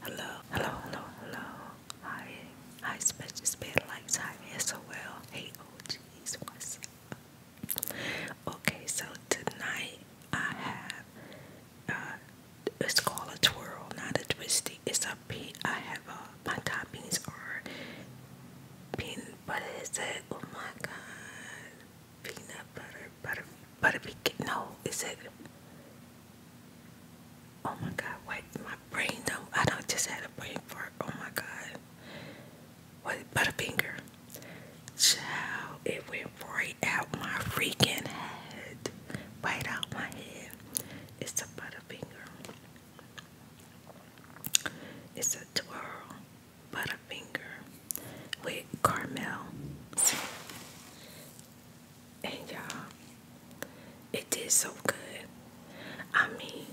Hello, hello, hello, hello. Hi, hi, special spare lights. Hi, SOL. Hey, OGs, what's up? Okay, so tonight I have uh, it's called a twirl, not a twisty. It's a have uh, my toppings are pin, but oh my god, peanut butter, butter, butter pecan. No, is it? Oh my God! Wait, my brain don't. I don't just had a brain fart. Oh my God! What butterfinger? Child, it went right out my freaking head, right out my head. It's a butterfinger. It's a twirl. Butterfinger with Carmel. And y'all, it did so good. I mean,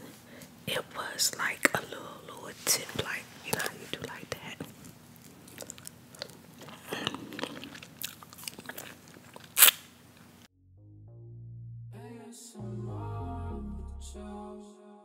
it was like a little, little tip, like, you know how you do like that.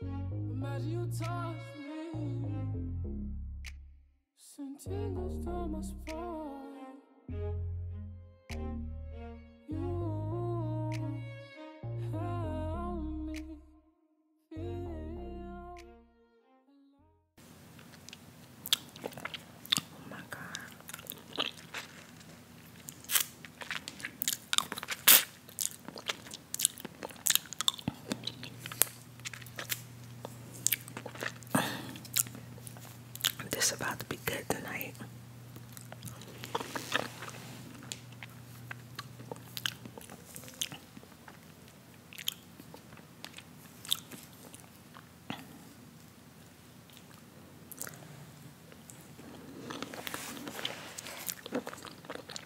Imagine you touch me. Send tingles down my spine. You help me feel. Oh my God. This about to be good tonight.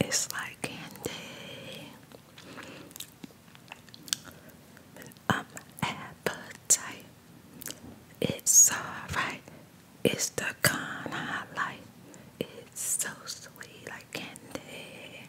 It's like candy. Um, appetite. It's alright. It's the kind I like. It's so sweet like candy.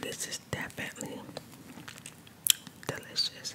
This is definitely delicious.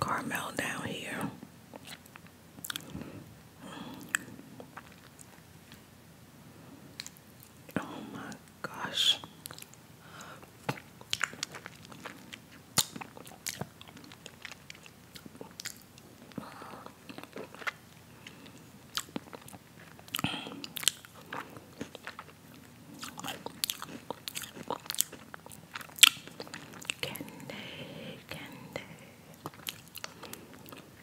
Carmel down here Oh my gosh. Candy, candy.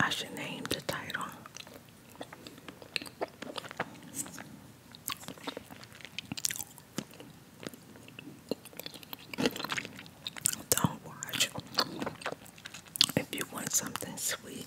I should name the title. Don't watch. If you want something sweet,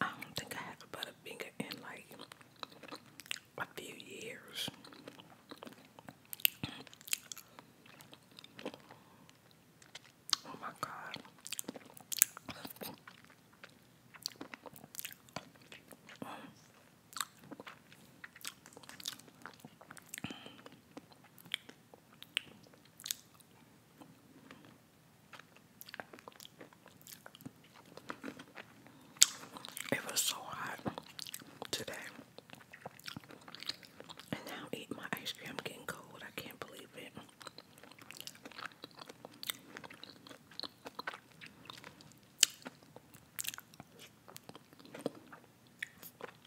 I don't think I have a finger in like a few years. Oh my god. It was so hot today. And now eat my ice cream. getting cold. I can't believe it.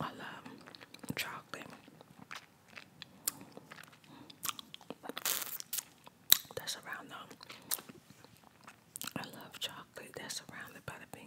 Um, I love chocolate. That's around them. I love chocolate that's surrounded by the finger.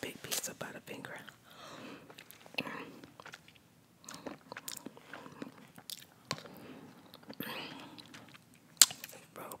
Big piece of butter finger. Real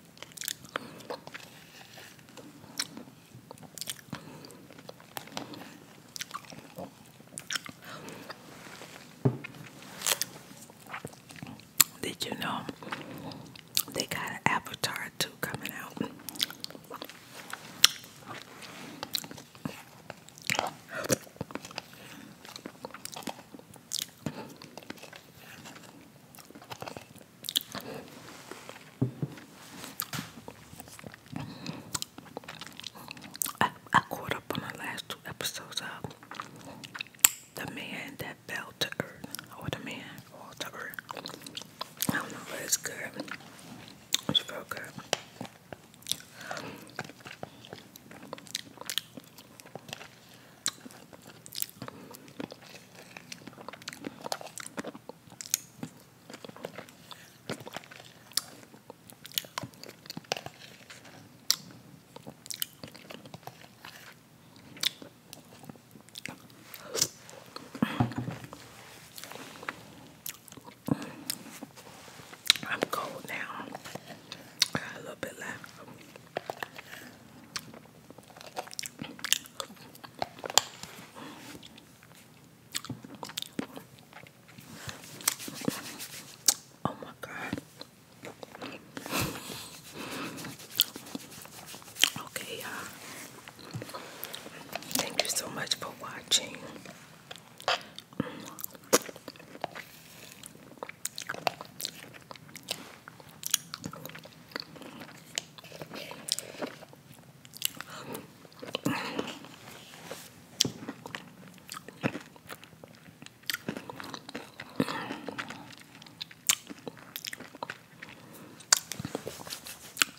Did you know they got an Avatar 2 coming out? I, caught up on the last two episodes of the man that fell to earth, or the man fall to I don't know, if it's good. It's real good. I'm cold now. a little bit left. Oh my god. Okay, y'all. thank you so much for watching.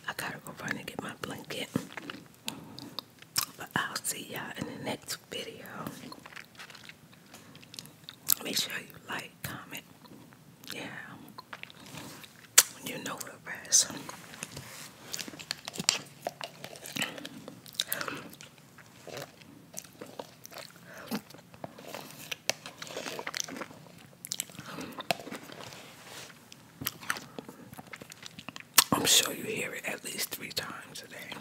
I gotta go run and get my blanket. But I'll see y'all in the next video. Make sure you like, comment. Yeah. You know it, rest. I'm sure you hear it at least three times a day.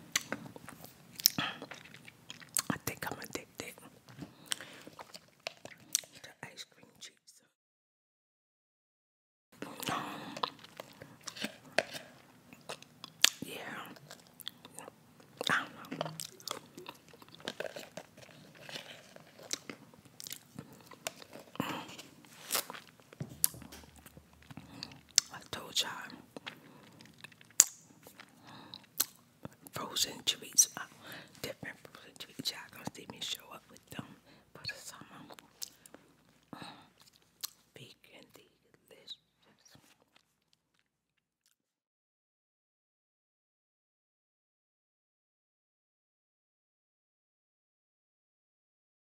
I think I'm addicted to ice Yeah, I told y'all frozen treats, uh, different frozen treats. Y'all gonna see me show up with them for the summer. Uh, vegan delicious.